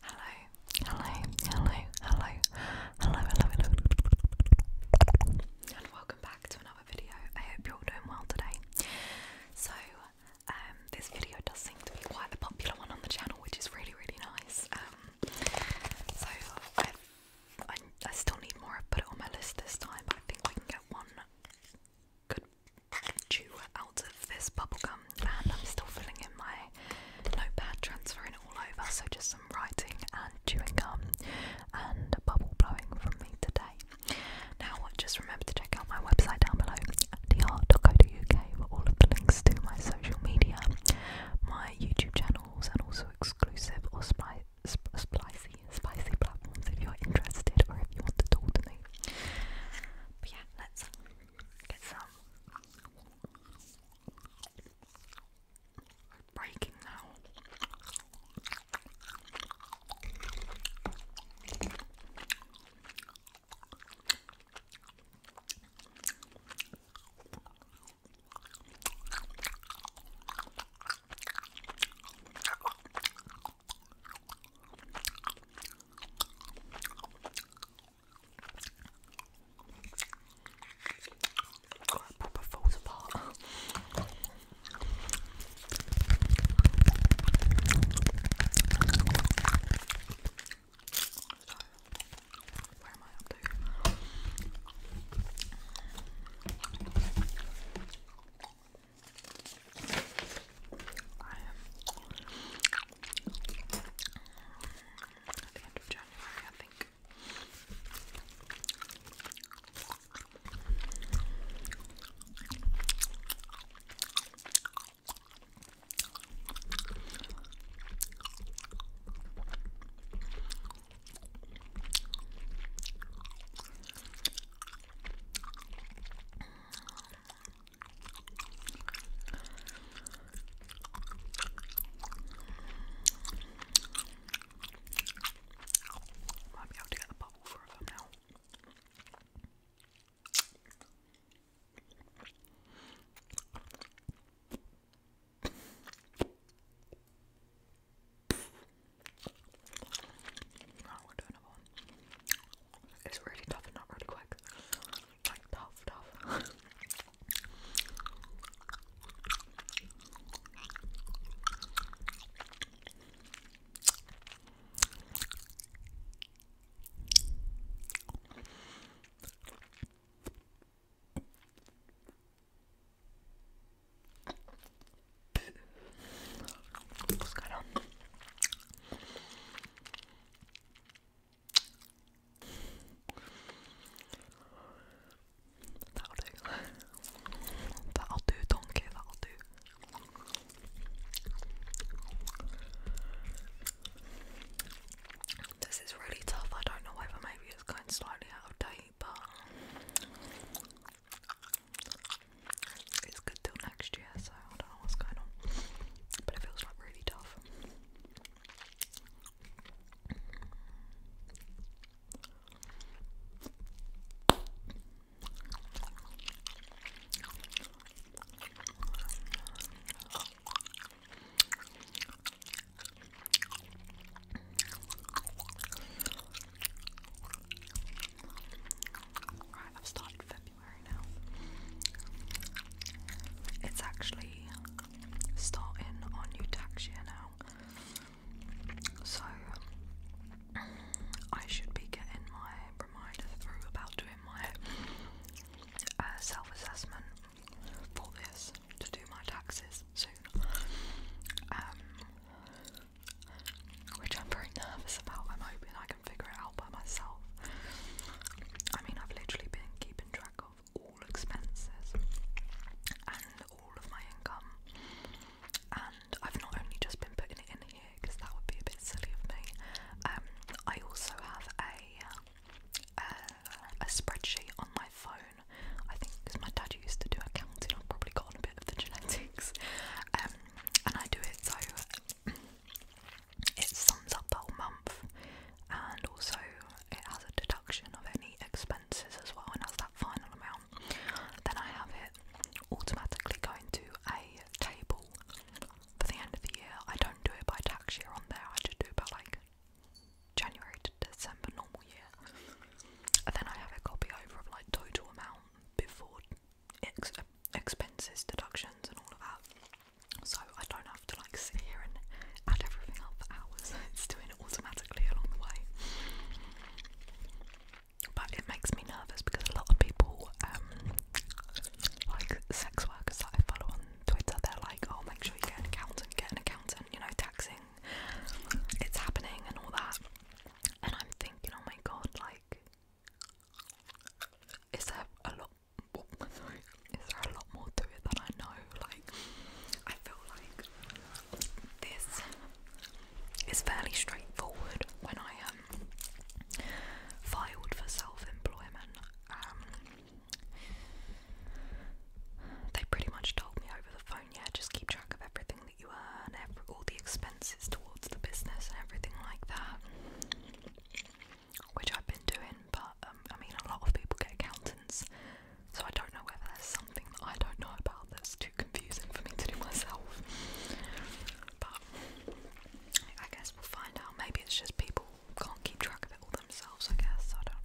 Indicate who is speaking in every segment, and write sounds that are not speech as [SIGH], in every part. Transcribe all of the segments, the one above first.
Speaker 1: Hello, hello, hello, hello, hello, hello, hello, and welcome back to another video. I hope you're all doing well today. So, um, this video does seem to be quite a popular one on the channel, which is really, really nice. Um, so I, I, I still need more. I put it on my list this time, but I think I can get one good chew out of this bubblegum, and I'm still filling in my notepad, transferring it all over, so just some writing and chewing gum and bubble blowing from me today. Now, just remember to check out my website down below, dot co. dr.co.uk, for all of the links to my social media, my YouTube channels, and also exclusive or spy spicy, spicy platforms if you're interested or if you want to talk to me. But yeah, let's Get some. Breaking now. God, it proper falls apart. So, where am I up to? I am at the end of January, I think. Might be able to get the bubble for them now. Right, we'll do another one. It's really tough not really quick. Like tough, tough. [LAUGHS] That'll do. That'll do, donkey. That'll do. This is really tough. I don't know whether maybe it's going slightly out of date, but it's good till next year, so I don't know what's going on. But it feels like really tough. Right, I've started it's actually starting on new tax year now. So I should be getting my reminder through about doing my uh, self assessment for this to do my taxes soon. Um, which I'm very nervous about. I'm hoping I can figure it out by myself. I mean, I've literally been keeping track of all expenses and all of my income, and I've not only just been putting it in here because that would be a bit silly of me. Um, I also have a uh, a spreadsheet on my phone. I think my dad used to do accounting, I've probably gotten a bit of the [LAUGHS] genetics. Um, and I do it so it sums up the whole month and also it has a deduction of any expenses as well and has that final amount. Then I have it automatically going to a table for the end of the year. I don't do it by tax year on there, I just do it by like January to December normal year. And then I have a copy over of like total amount before expenses, deductions, and all of that. So I don't have to like sit here and add everything up for hours. [LAUGHS] It's doing it automatically along the way. But it makes me nervous because a lot of people, um, like sex workers that I follow on Twitter, they're like, "Oh, make sure you get an accountant, get an accountant." You know, taxing, it's happening and all that. And I'm thinking, "Oh my god, like." Is there a lot? Is there a lot more to it than I know? Like, I feel like this is fairly straightforward. When I um filed for self-employment, um, they pretty much told me over the phone, yeah, just keep track of everything that you earn, all the expenses towards the business and everything like that, which I've been doing. But um, I mean, a lot of people get accountants, so I don't know whether there's something that I don't know about that's too confusing for me to do myself. But I guess we'll find out. Maybe it's just people can't keep track of it all themselves. I guess I don't know.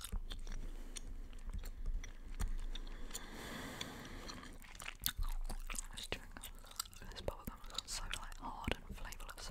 Speaker 1: This chewing bubble gum has so like hard and flavourless.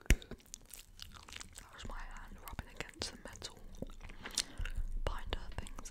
Speaker 1: That was my hand rubbing against the metal binder things.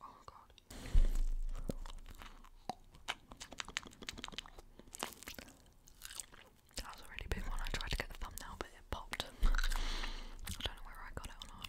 Speaker 1: Oh god. That was a really big one. I tried to get the thumbnail but it popped. I don't know whether I got it or not.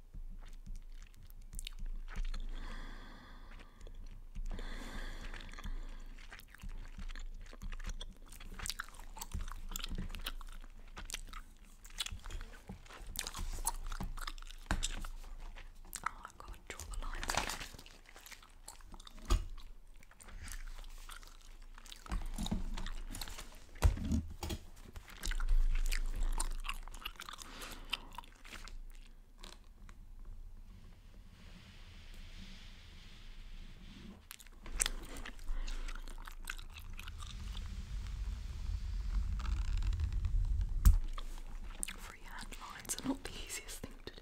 Speaker 1: Oh, I've got to draw the lines again. Free lines are not the easiest thing to do.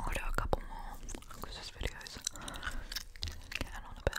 Speaker 1: I'll do a couple more because this video on a bit.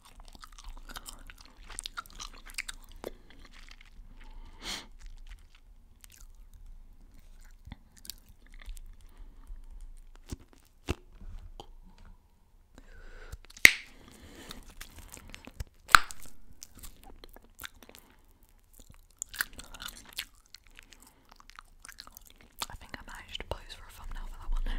Speaker 1: I think I managed to pose for microphone now for that one.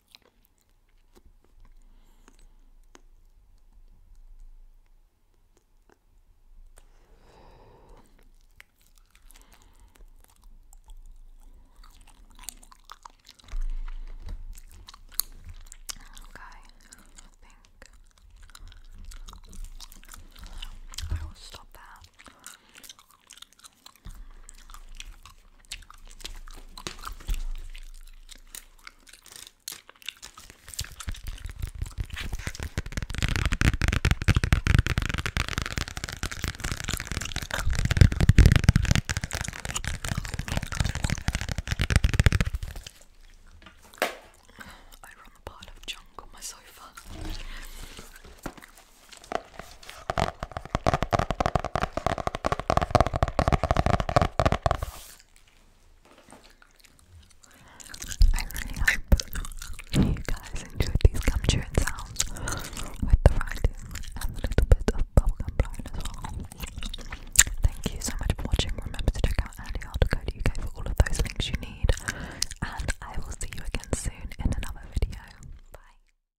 Speaker 1: Okay, I think I will stop there. I run a pile of junk on my sofa. I really hope you guys enjoyed these gum sounds with the writing and a little bit of bubblegum blowing as well. Thank you so much for watching. Remember to check out andyhard.co.uk for all of those links you need. And I will see you again soon in another video. Bye.